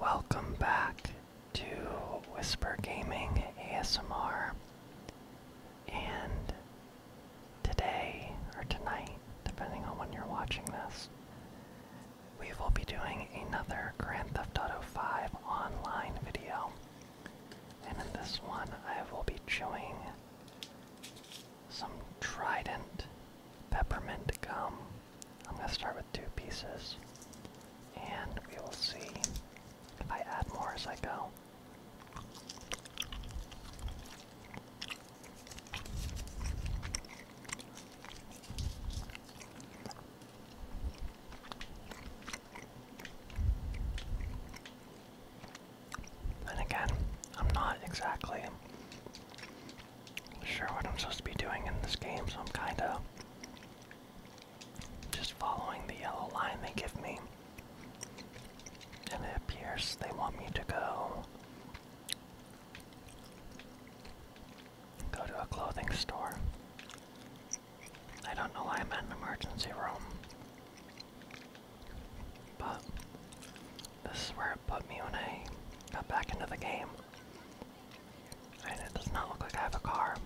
Welcome back to Whisper Gaming ASMR. And today, or tonight, depending on when you're watching this, we will be doing another Grand Theft Auto 5 online video. And in this one, I will be chewing some Trident peppermint gum. I'm going to start with two pieces, and we will see if I add more as I go. And again, I'm not exactly sure what I'm supposed to be doing in this game, so I'm kinda just following the yellow line they give me. And it appears they want me to go go to a clothing store. I don't know why I'm at an emergency room. But this is where it put me when I got back into the game. And it does not look like I have a car.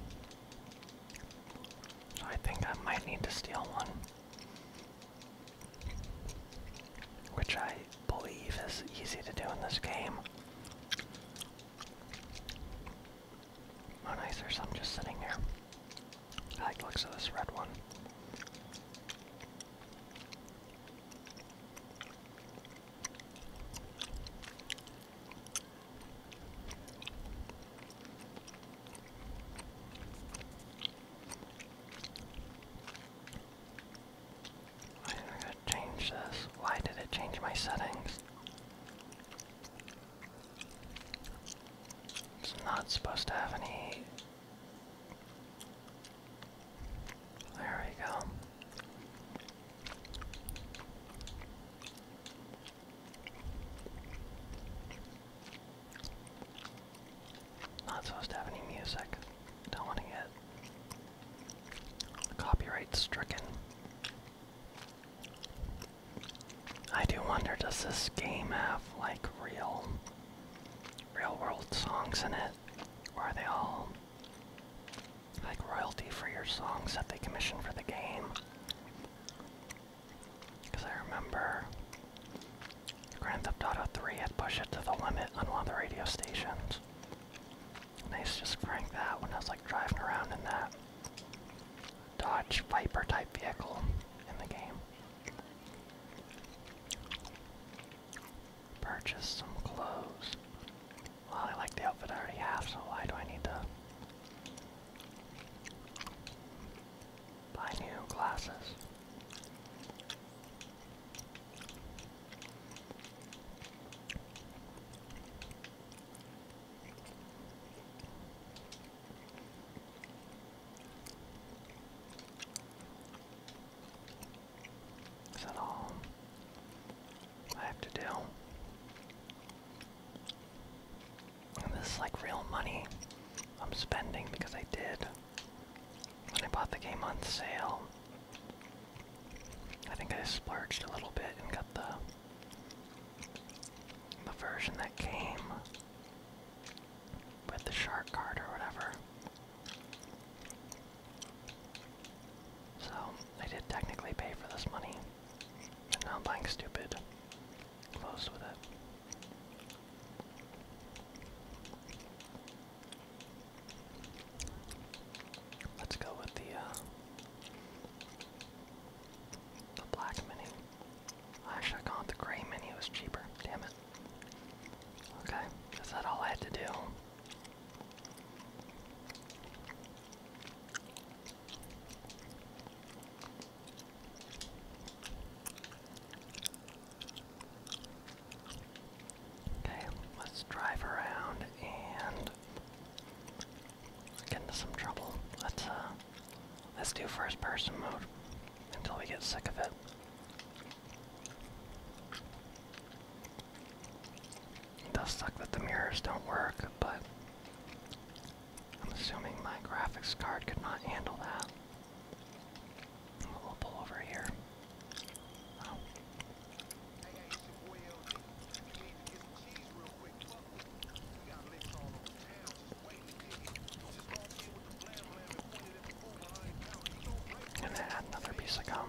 So I think I might need to steal one. Which I believe is easy to do in this game. Oh nice, there's some just sitting there. I like the looks of this red one. I think to change this. Why did it change my settings? It's not supposed to have any. There we go. Not supposed to have any music. Don't want to get copyright stricken. I do wonder, does this game have like real, real world songs in it? Or are they all like royalty for your songs that they commissioned for the game. Because I remember Grand Theft Auto 3 had pushed it to the limit on one of the radio stations. And just crank that when I was like driving around in that Dodge Viper type vehicle in the game. Purchase some clothes. Well, I like the outfit I already have, so why do I need to buy new glasses? Is that all? I have to do. And this is like real money I'm spending because I did. When I bought the game on sale, I think I splurged a little bit and got the the version that came with the shark card or whatever. So, I did technically pay for this money, and now I'm buying stupid Close with it. Let's go with the, uh, the black mini. I should the gray mini, it was cheaper, damn it. Okay, is all I had to do? Okay, let's drive around and get into some trouble. Let's uh, let's do first person mode until we get sick of it. It does suck that the mirrors don't work, but I'm assuming my graphics card could not handle that. We'll pull over here. Oh. i add another piece of gum.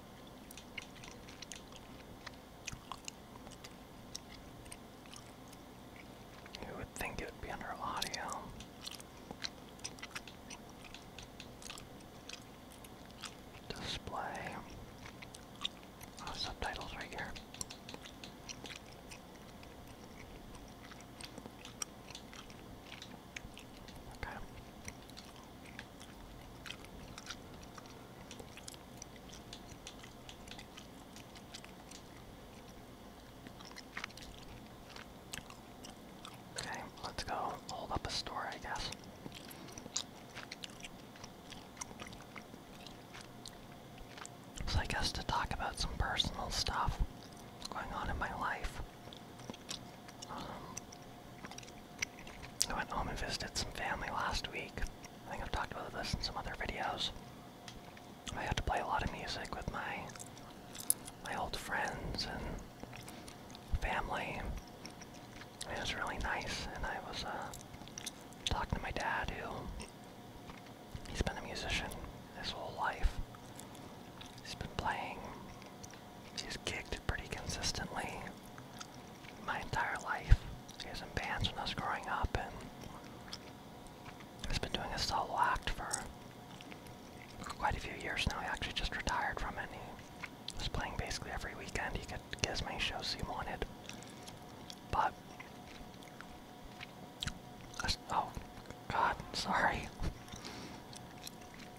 You would think it would be under audio. Display. Oh, subtitles right here. Okay. Okay, let's go hold up a story, I guess. So I guess to talk about some personal stuff going on in my life. Um, I went home and visited some family last week. I think I've talked about this in some other videos. I had to play a lot of music with my my old friends and family. It was really nice, and I was uh, talking to my dad, who he's been a musician his whole life. He's been playing He's kicked pretty consistently my entire life. He was in bands when I was growing up, and has been doing a solo act for quite a few years now. He actually just retired from it. And he was playing basically every weekend. He could get as shows he wanted. But oh god, sorry.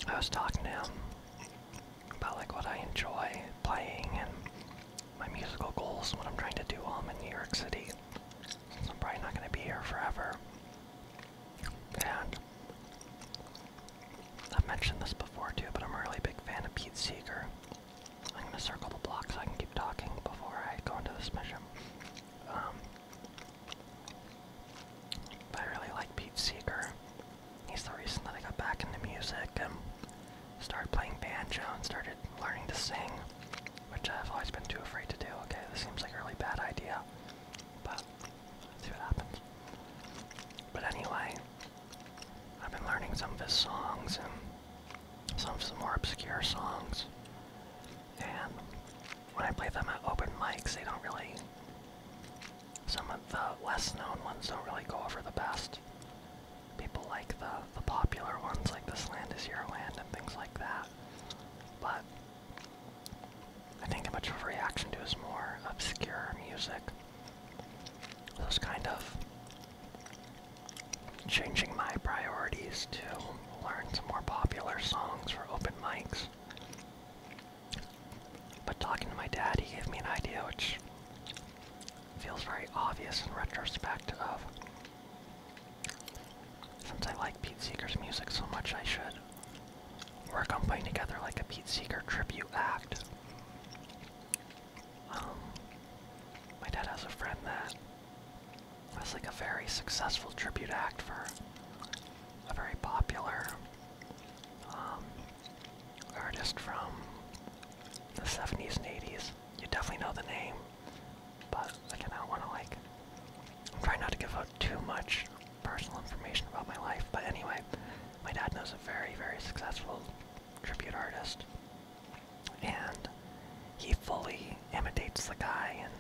I was talking to him about like what I enjoy playing and my musical goals and what I'm trying to do while I'm in New York City. Since I'm probably not going to be here forever. And I've mentioned this before too, but I'm a really big fan of Pete Seeger. I'm going to circle the block so I can keep talking before I go into this mission. Um, I really like Pete Seeger he's the reason that I got back into music and started playing banjo and started learning to sing, which I've always been too afraid to do. Okay, this seems like a really bad idea, but see what happens. But anyway, I've been learning some of his songs and some of some more obscure songs. And when I play them at open mics, they don't really some of the less known ones don't really go over the best. People like the, the popular ones, like This Land Is Your Land and things like that. But I think much of a reaction to is more obscure music. Those kind of changing my priorities to learn some more popular songs for open mics. But talking to my dad, he gave me an idea which feels very obvious in retrospect of since I like Pete Seeger's music so much, I should work on putting together like a Pete Seeger tribute act. Um, my dad has a friend that has like a very successful tribute act for a very popular um, artist from the 70s and 80s. You definitely know the name, but I do want to like. I'm trying not to give out too much personal information about my life, but anyway, my dad knows a very, very successful tribute artist, and he fully imitates the guy and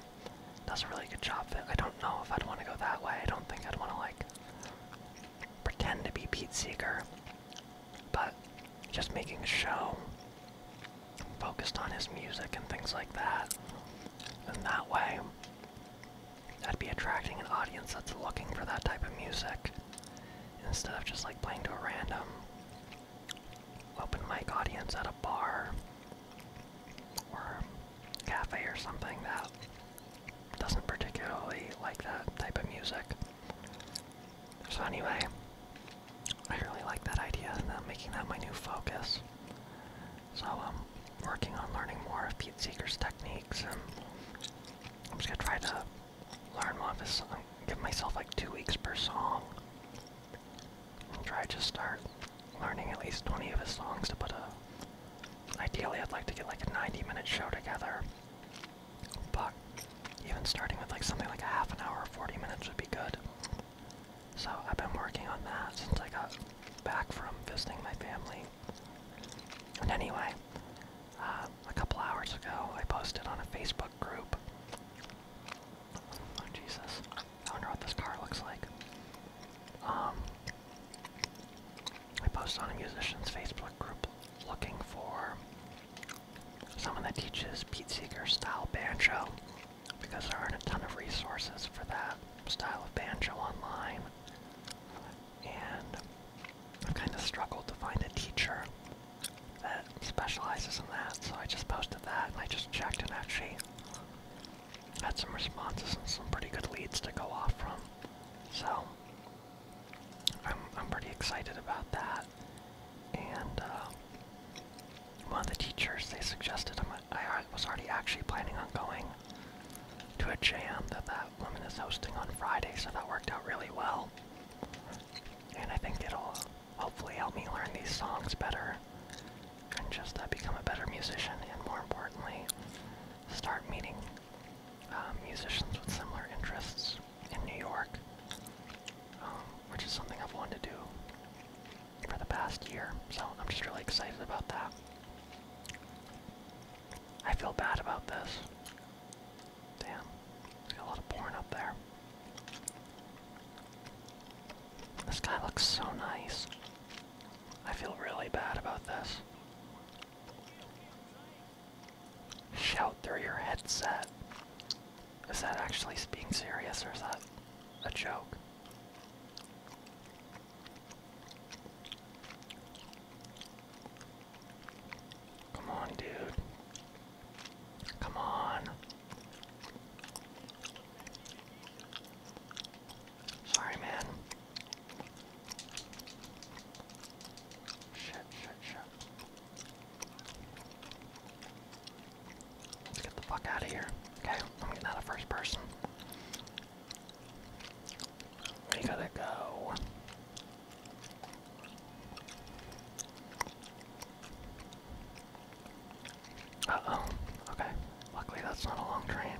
does a really good job I don't know if I'd want to go that way. I don't think I'd want to like pretend to be Pete Seeger, but just making a show focused on his music and things like that. And that way, that'd be attracting an audience that's looking for that type of music instead of just like playing to a random open mic audience at a bar or cafe or something that doesn't particularly like that type of music. So anyway, I really like that idea and I'm making that my new focus. So I'm um, working on learning more of Pete Seeger's techniques and I'm just gonna try to learn more of his song. Give myself like two weeks per song. And try to start learning at least 20 of his songs to put a... Ideally I'd like to get like a 90 minute show together. But even starting with like something like a half an hour 40 minutes would be good. So I've been working on that since I got back from visiting my family. And anyway, uh, a couple hours ago I posted on a Facebook group. Oh Jesus, I wonder what this car looks like. Um, I post on a musician's Facebook group looking for someone that teaches Pete Seeger style banjo because there aren't a ton of resources for that style of banjo online. And I've kind of struggled to find a teacher that specializes in that, so I just posted that and I just checked and actually had some responses and some pretty good leads to go off from. So I'm pretty excited about that. And uh, one of the teachers they suggested i was already actually planning on going to a jam that that woman is hosting on Friday, so that worked out really well. And I think it'll hopefully help me learn these songs better and just uh, become a better musician, and more importantly, start meeting uh, musicians with similar interests in New York, um, which is something I've wanted to do for the past year. So I'm just really excited about that. I feel bad about this. Damn, there's a lot of porn up there. This guy looks so nice. I feel really bad about this shout through your headset. Is that actually being serious or is that a joke? Come on, dude. Come on. Sorry, man. Shit, shit, shit. Let's get the fuck out of here. Okay, I'm getting out of first person. We gotta go. Uh oh. Okay. Luckily, that's not a long train.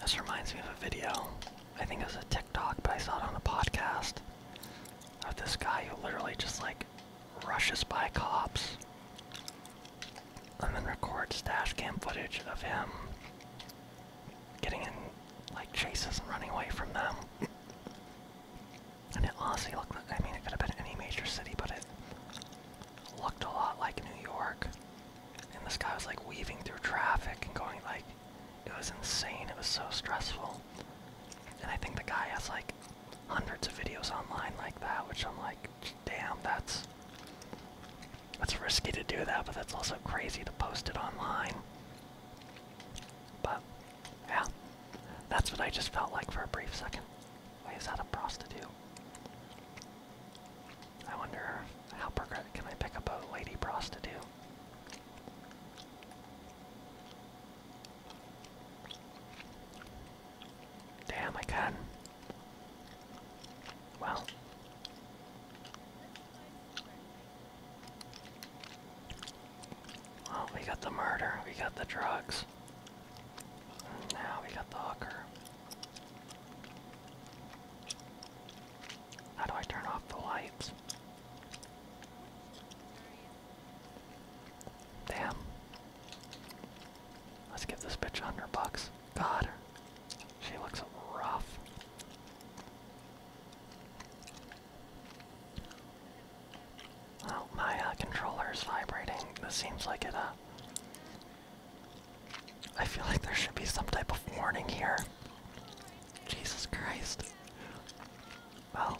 This reminds me of a video. I think it was a TikTok, but I saw it on a podcast of this guy who literally just like rushes by cops and then records dash cam footage of him getting in like chases and running away from them. and it honestly looked like I mean it could have been any major city, but it looked a lot like New York. And this guy was like weaving through traffic and going like, it was insane. It was so stressful. And I think the guy has like hundreds of videos online like that, which I'm like, damn, that's that's risky to do that, but that's also crazy to post it online. But yeah, that's what I just felt like for a brief second. Wait, is that a prostitute? I wonder how pervert can I pick up a lady prostitute? Damn, my god! Well. Well, we got the murder, we got the drugs. now we got the hooker. How do I turn off the lights? Damn. Let's give this bitch a hundred bucks. God, she looks rough. Oh, my uh, controller is vibrating. This seems like it uh, I feel like there should be some type of warning here. Jesus Christ. Well,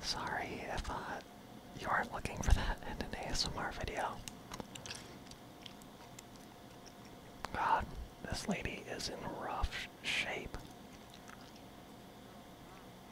sorry if uh, you aren't looking for that in an ASMR video. God, this lady is in rough shape.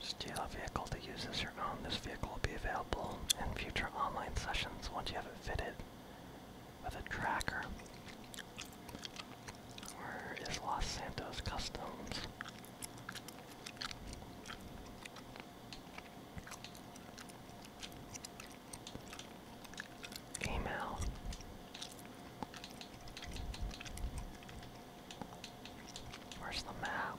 Steal a vehicle to use as your own. This vehicle will be available in future online sessions once you have it fitted with a tracker. Where is Los Santos Customs? Email. Where's the map?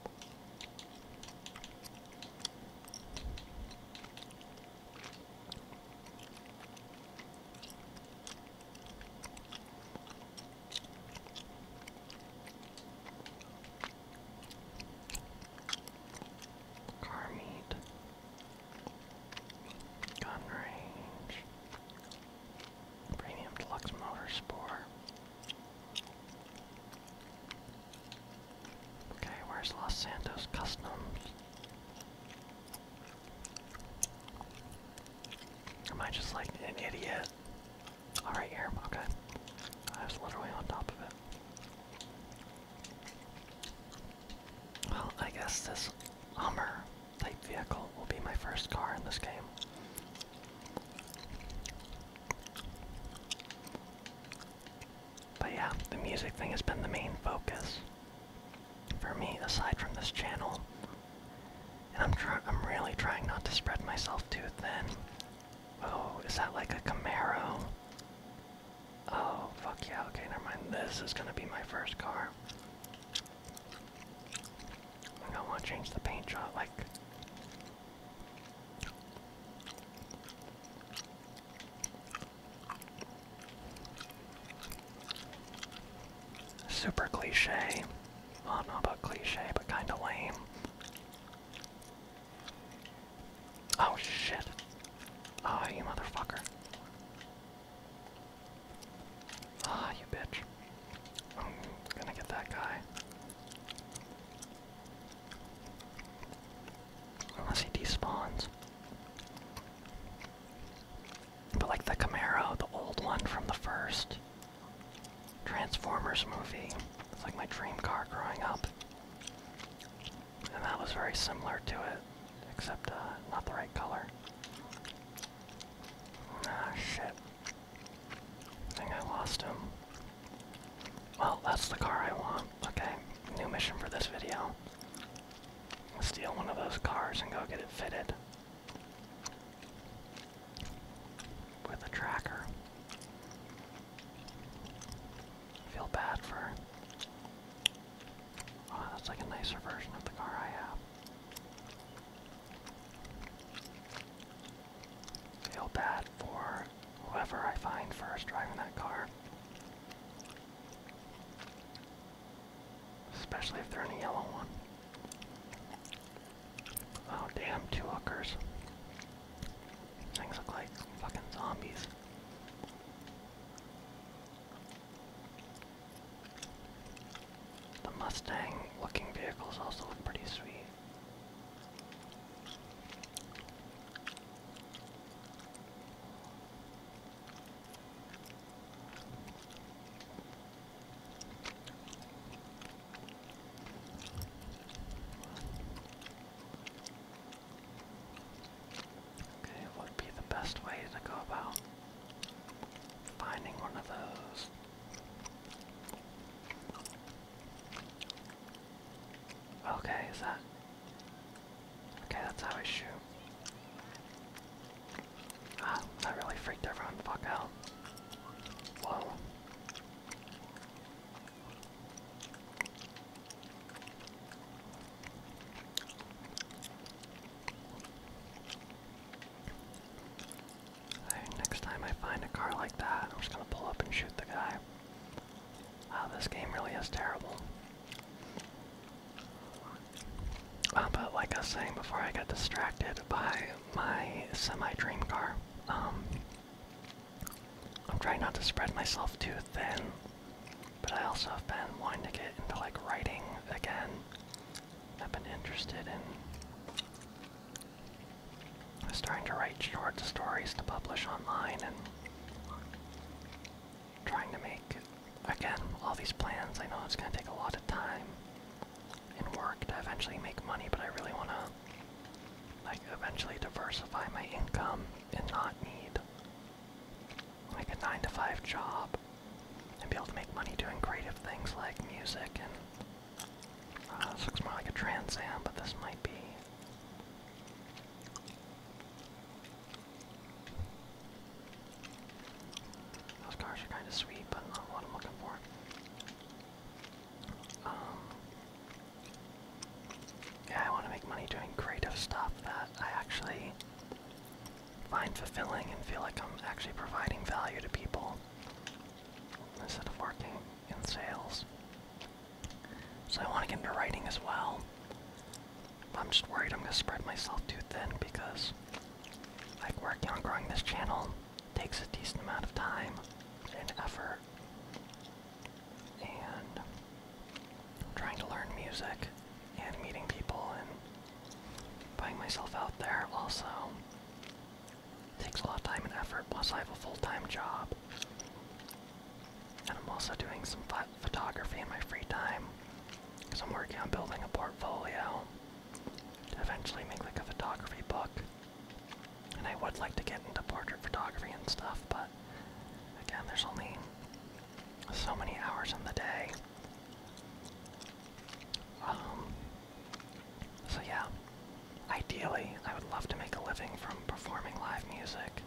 Car meat. Gun range. Premium deluxe motor Okay, where's Los Santos Customs? Am I just like an idiot? All right, here. Okay, I was literally on top of it. Well, I guess this Hummer type vehicle will be my first car in this game. But yeah, the music thing has been the main focus for me, aside from this channel. And I'm try I'm really trying not to spread myself too thin. Oh, is that like a Camaro? Oh, fuck yeah, okay, never mind. This is gonna be my first car. I don't wanna change the paint job, like, Super cliche. Well, not about cliche, but kinda lame. Oh shit. Ah, oh, you motherfucker. Ah, oh, you bitch. I'm gonna get that guy. Unless he despawns. But like the Camaro, the old one from the first Transformers movie. It's like my dream car growing up. And that was very similar to it, except uh, not the right color. Ah, shit. I think I lost him. Well, that's the car I want. Okay, new mission for this video. Steal one of those cars and go get it fitted. With a tracker. Feel bad for. Oh, that's like a nicer version of the car I have. Feel bad for whoever I find first driving that car. Especially if they're in a yellow one. Oh damn, two hookers. Things look like fucking zombies. The Mustang looking vehicles also look pretty sweet. Okay, what would be the best way to go about finding one of those? Okay, is that... Okay, that's how I shoot. Ah, that really freaked everyone the fuck out. Whoa. Right, next time I find a car like that, I'm just gonna pull up and shoot the guy. Wow, oh, this game really is terrible. Uh, but like I was saying before, I got distracted by my semi-dream car. Um, I'm trying not to spread myself too thin, but I also have been wanting to get into like writing again. I've been interested in starting to write short stories to publish online and trying to make, again, all these plans. I know it's going to take a lot of time and work to eventually make money, but I really want to, like, eventually diversify my income and not need, like, a 9 to 5 job and be able to make money doing creative things like music and. Uh, this looks more like a Trans Am, but this might be those cars are kind of sweet, but not what I'm looking for. Um, yeah, I want to make money doing creative stuff that I actually find fulfilling and feel like I'm actually providing value to people instead of working in sales. So I want to get into writing as well. I'm just worried I'm going to spread myself too thin because like working on growing this channel takes a decent amount of time and effort. And trying to learn music and meeting people and putting myself out there also takes a lot of time and effort. Plus, I have a full time job. And I'm also doing some photography in my free time because I'm working on building a portfolio to eventually make like a photography book. And I would like to get into portrait photography and stuff, but again, there's only so many hours in the day. Um, so yeah, ideally, I would love to make a living from performing live music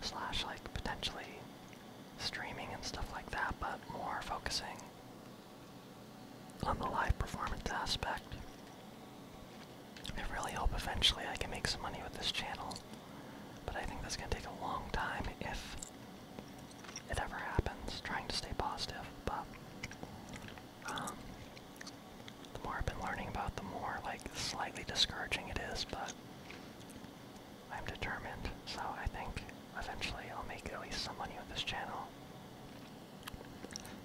slash like potentially streaming and stuff like that, but more focusing on the live performance aspect. I really hope eventually I can make some money with this channel, but I think that's going to take a long time if it ever happens, trying to stay positive, but um, the more I've been learning about, the more like slightly discouraging it is, but I'm determined, so I think eventually I'll make at least some money with this channel.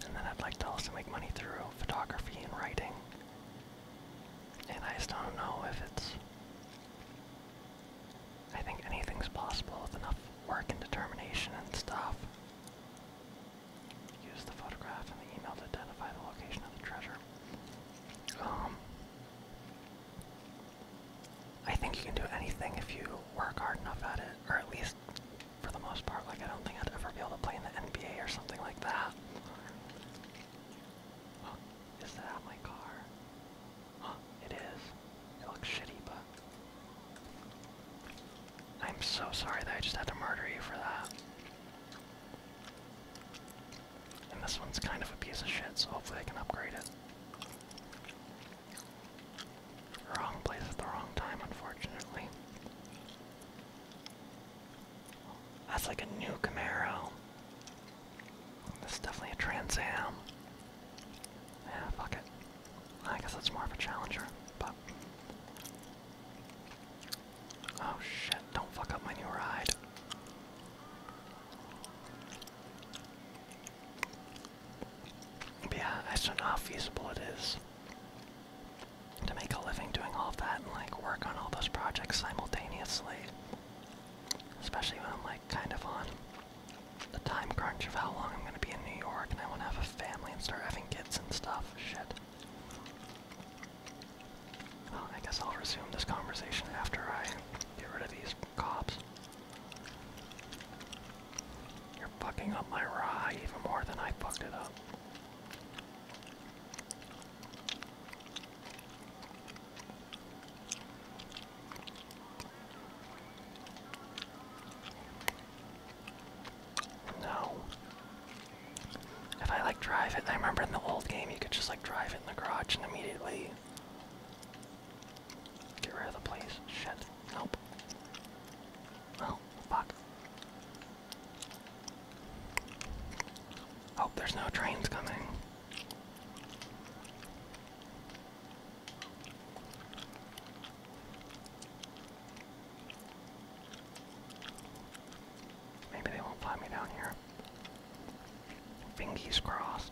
And then I'd like to also make money through photography and writing. And I just don't know if it's... I think anything's possible with enough work and determination and stuff. Use the photograph and the email to identify the location of the treasure. Um, I think you can do anything if you work hard enough at it, or at least for the most part. Like I don't think I'd ever be able to play in the NBA or something like that. that my car? it is. It looks shitty, but I'm so sorry that I just had to murder you for that. And this one's kind of a piece of shit, so hopefully I can upgrade it. Wrong place at the wrong time, unfortunately. That's like a new Camaro. This is definitely a Trans Am. Yeah, fuck it. I guess that's more of a Challenger, but... Oh shit, don't fuck up my new ride. yeah, I don't know how feasible it is to make a living doing all that and like work on all those projects simultaneously. Especially when I'm like kind of on the time crunch of how long I'm gonna be in New York and I wanna have a family and start having kids and stuff. Shit. I guess I'll resume this conversation after I get rid of these cops. You're fucking up my rye even more than I fucked it up. No. If I like drive it, I remember in the old game you could just like drive it in the garage and immediately get rid of the place. Shit. Nope. Oh, fuck. Oh, there's no trains coming. Maybe they won't fly me down here here. Fingers crossed.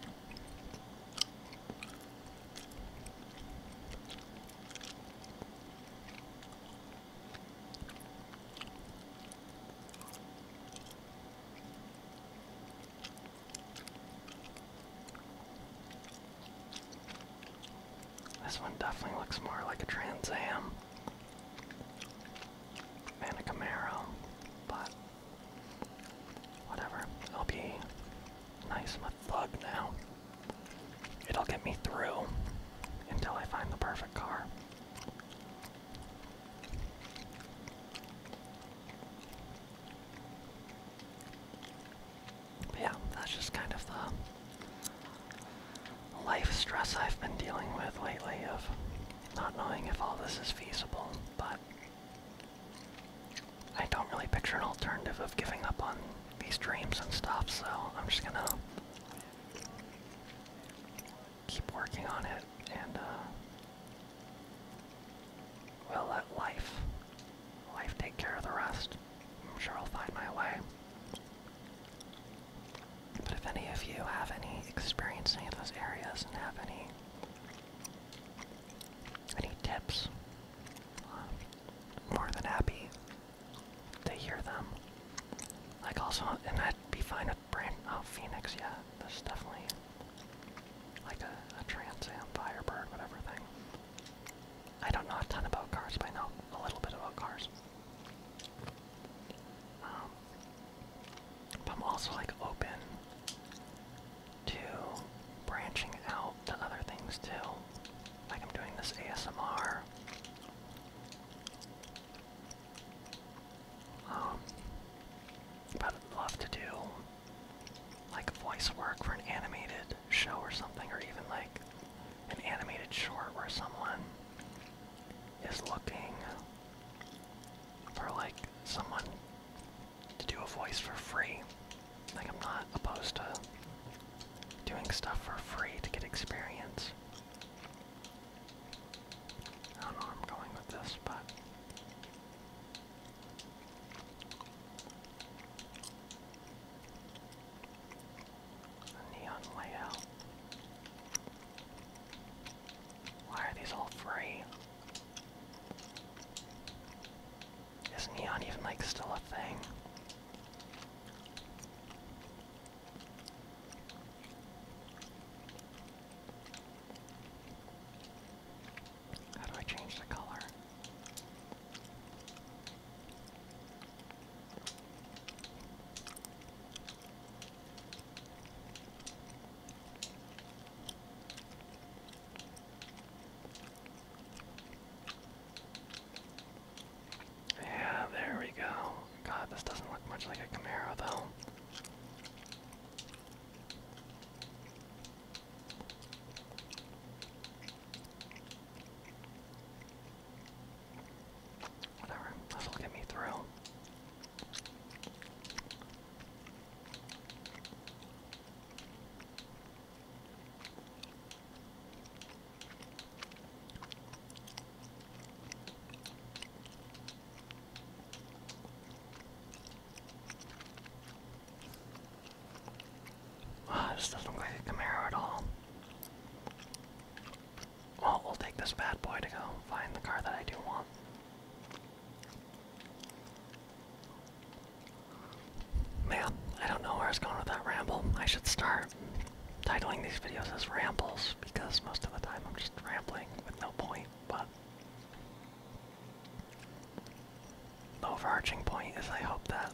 This one definitely looks more like a Trans Am. Man, a Camaro, but whatever. It'll be nice and a plug now. It'll get me through until I find the perfect car. yeah, that's just kind of the life stress I've been dealing with lately of not knowing if all this is feasible, but I don't really picture an alternative of giving up on these dreams and stuff, so I'm just gonna keep working on it and uh, we'll let life life take care of the rest. I'm sure I'll find my way. But if any of you have any experience in any of those areas and have any any tips, uh, more than happy to hear them. Like also, and I'd be fine with brand. Oh, Phoenix, yeah, this definitely like a Trans Am Firebird, whatever thing. I don't know a ton about cars, but I know a little bit about cars. Um, I'm also like open to branching out to other things too. Like I'm doing this ASMR. Um, but love to do like voice work for an animated show or something, or even like an animated short where someone is looking for like someone to do a voice for free. Like I'm not opposed to doing stuff for free to get experience. I don't know where I'm going with this, but neon layout. Why are these all free? Is neon even like still a thing? How do I change the color? Yeah, there we go. God, this doesn't look much like a Camaro, though. Whatever, this'll get me through. Wow, ah, this doesn't look like a Camaro at all. Well, we'll take this bad boy to go find the car that I do want. Man, I don't know where I was going with that ramble. I should start titling these videos as rambles because most of the time I'm just rambling with no point, but the overarching point is I hope that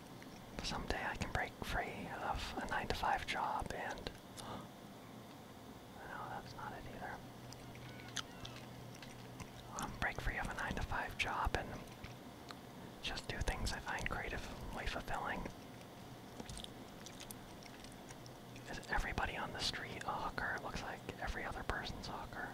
someday I can break free of a 9 to 5 job and no, that's not it either. Um, break free of a 9 to 5 job and just do things I find creatively fulfilling. Is everybody on the street a hooker? It looks like every other person's a hooker.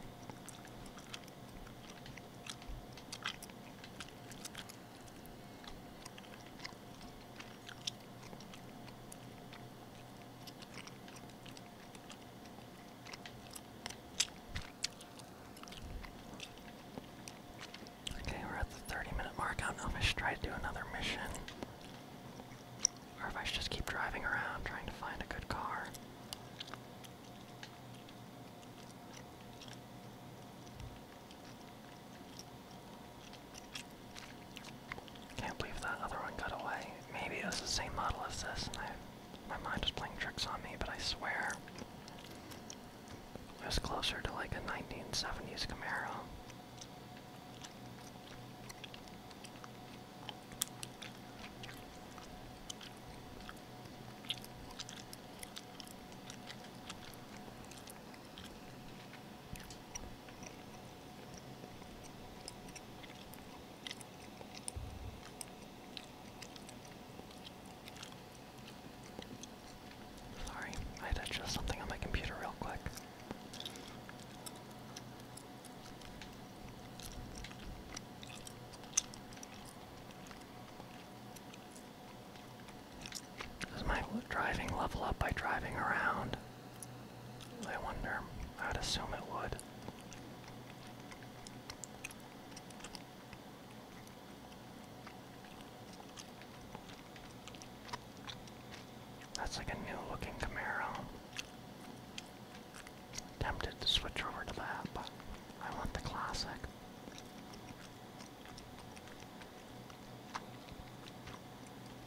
Okay, we're at the 30 minute mark. I don't know if I should try to do another mission. Or if I should just keep driving around trying to find a good car. Can't believe that other one got away. Maybe it was the same model as this, and my mind is playing tricks on me, but I swear it was closer to like a 1970s Camaro. Sorry, I had to adjust something on my computer real quick. Is my driving level up by driving around? I wonder. I would assume it would. That's like a new looking Camaro. Tempted to switch over to that, but I want the classic.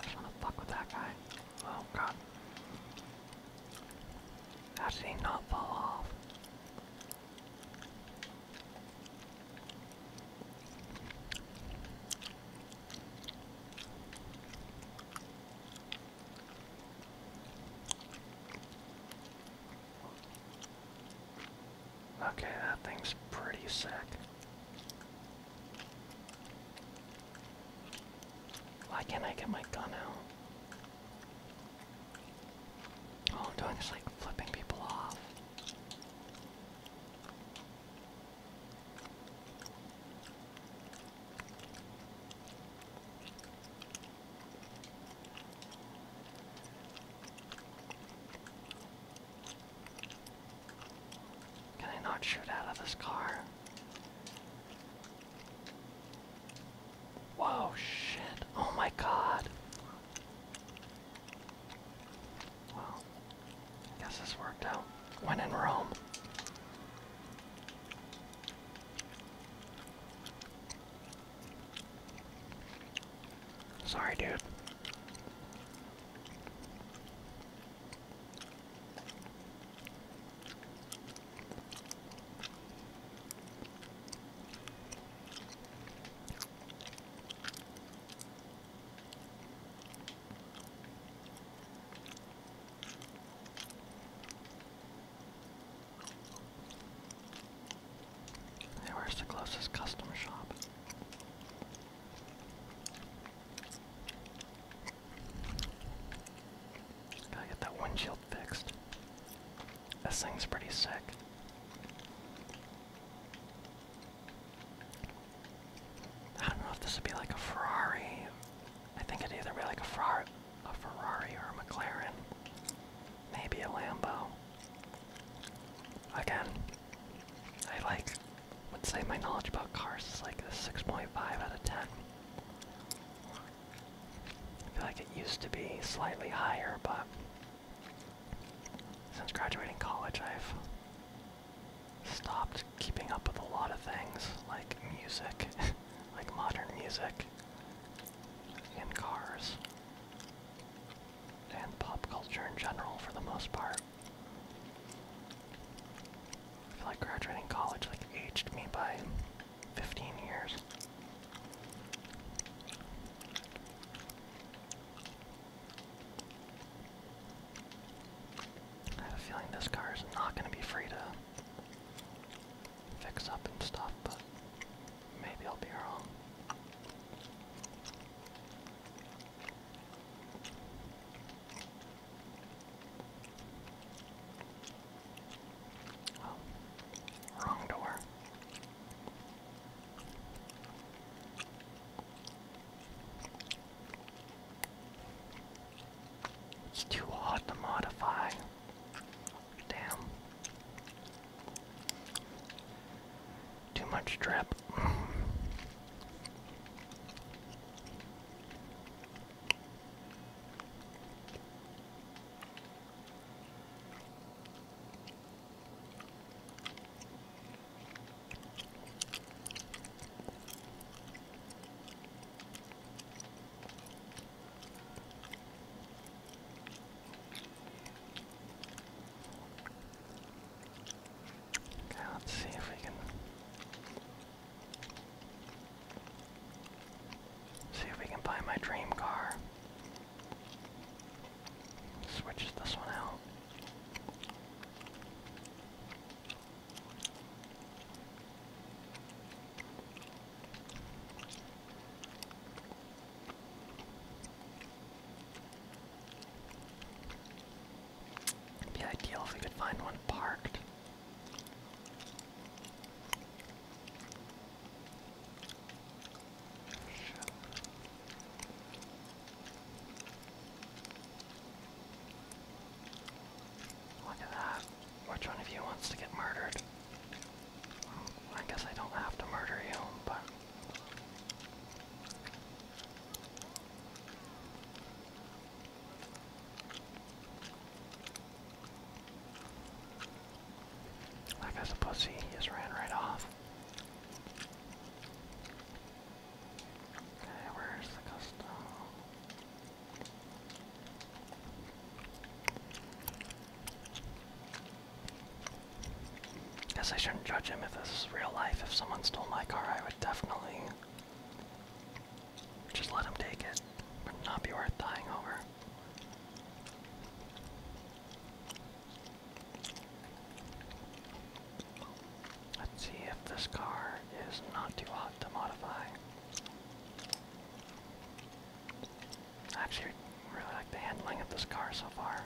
I wanna fuck with that guy. Oh god. How did he not fall off? Okay, that thing's pretty sick. Why can't I get my gun out? All I'm doing is like flipping people off. Can I not shoot out of this car? Whoa, shit. Oh my god. Well, guess this worked out. When in Rome. Sorry, dude where's the closest customer shop? Gotta get that windshield fixed. This thing's pretty sick. I don't know if this would be like a Ferrari. I think it'd either be like a Ferrari, or a McLaren. Maybe a Lambo. Again, I like would say my knowledge about cars is like a 6.5 out of 10. I feel like it used to be slightly higher, but since graduating college, I've stopped keeping up with a lot of things, like music, like modern music, and cars, and pop culture in general for the most part. I feel like graduating college like aged me by 15 years. I have a feeling this car is not going to be free to fix up and stuff, but maybe I'll be wrong. Oh, wrong door. It's too hot to modify. Damn. Too much drip. Okay, let's see if we can See if we can buy my dream car. Switch this one out. be ideal if we could find one parked. Look at that. Which one of you wants to get murdered? I guess I don't have to murder you, but. That guy's a pussy. He just ran right off. Okay, where's the custom? Guess I shouldn't judge him if this is real life. If someone stole my car, I would definitely just let him take it. not be worth dying over. Let's see if this car is not too hot to modify. actually really like the handling of this car so far.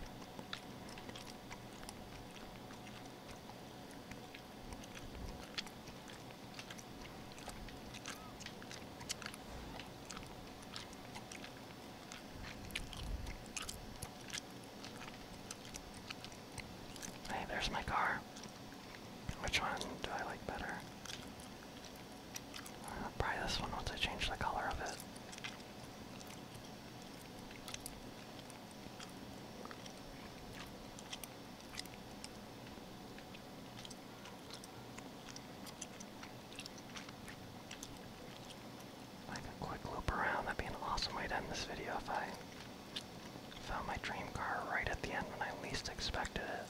Hey, there's my car. Which one do I like better? Uh, probably this one once I change the color of it. Like a quick loop around, that'd be an awesome way to end this video if I found my dream car right at the end when I least expected it.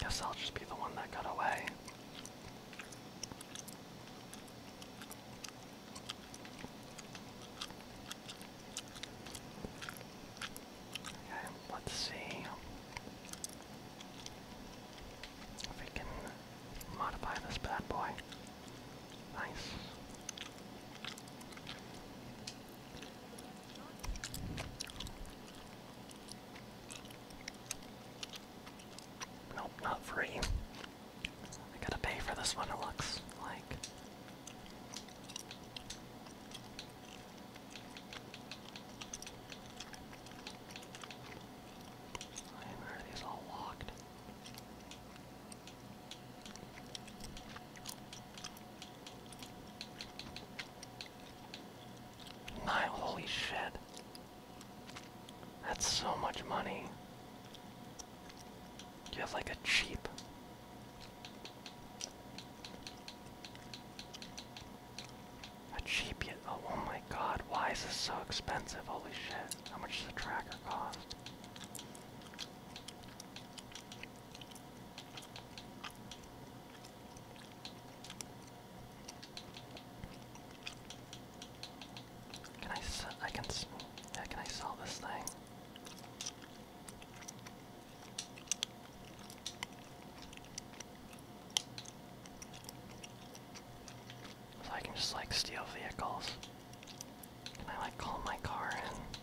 Guess I'll just be the one that got away. Okay, let's see if we can modify this bad boy. Nice. Nope, not free. I gotta pay for this one, it looks like. Where are these all locked? Nine, holy shit. That's so much money. You have like a cheap. A cheap yet. Oh, my god, why is this so expensive? Holy shit. How much does the tracker cost? Can I s I can can I sell this thing? So I can just like steal vehicles. Can I like call my car in?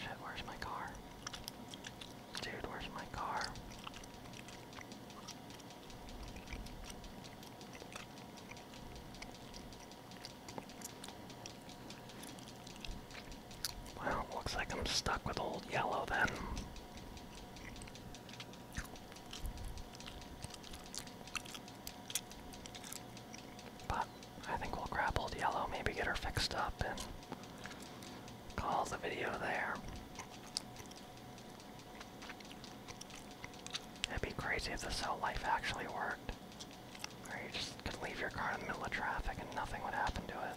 Shit, where's my car? Dude, where's my car? Well, looks like I'm stuck with old yellow then. But I think we'll grab old yellow, maybe get her fixed up, and call the video there. It'd be crazy if this is life actually worked. or you just could leave your car in the middle of traffic and nothing would happen to it.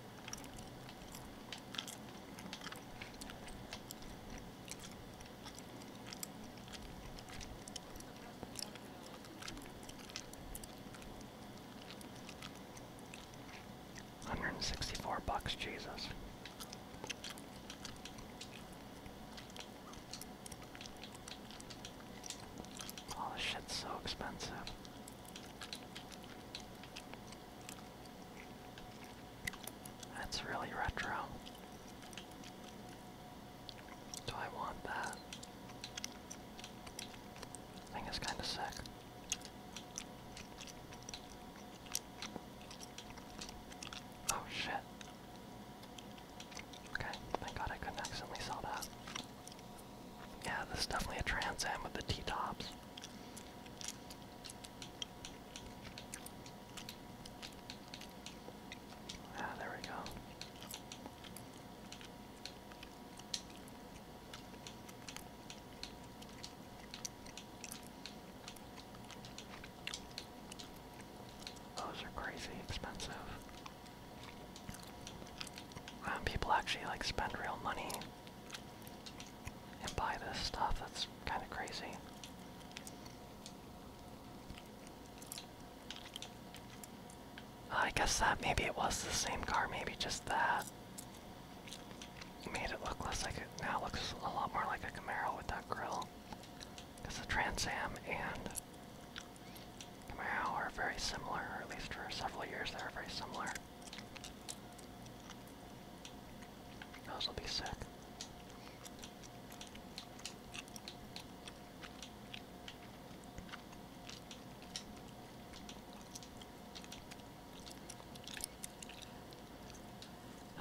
Hundred and sixty-four bucks, Jesus. All this so expensive. That's really retro. Do I want that? I think kind of sick. Oh shit. Okay, thank god I couldn't accidentally sell that. Yeah, this is definitely a Trans Am with the T-tops. Ah, there we go. Those are crazy expensive. Um, people actually like spend real money and buy this stuff. That's kind of crazy. I guess that maybe it was the same car, maybe just that made it look less like it. Now it looks a lot more like a Camaro with that grill. Because the Trans Am and Camaro are very similar, or at least for several years they were very similar. Those will be sick.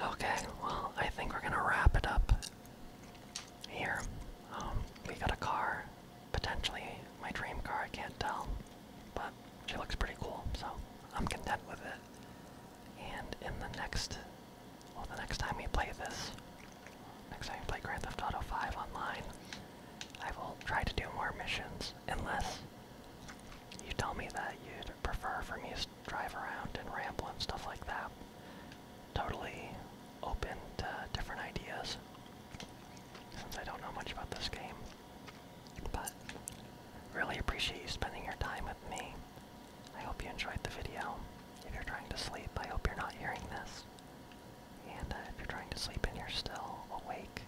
Okay, well, I think we're gonna wrap it up here. Um, we got a car, potentially my dream car, I can't tell. But she looks pretty cool, so I'm content with it. And in the next, well, the next time we play this, next time we play Grand Theft Auto 5 online, I will try to do more missions, unless you tell me that you prefer for me to drive around and ramble and stuff like that. Totally open to different ideas, since I don't know much about this game. But really appreciate you spending your time with me. I hope you enjoyed the video. If you're trying to sleep, I hope you're not hearing this. And uh, if you're trying to sleep and you're still awake,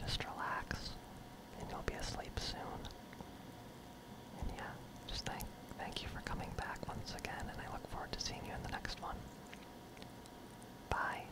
just relax and you'll be asleep soon. And yeah, just thank thank you for coming back once again and I look forward to seeing you in the next one. Bye.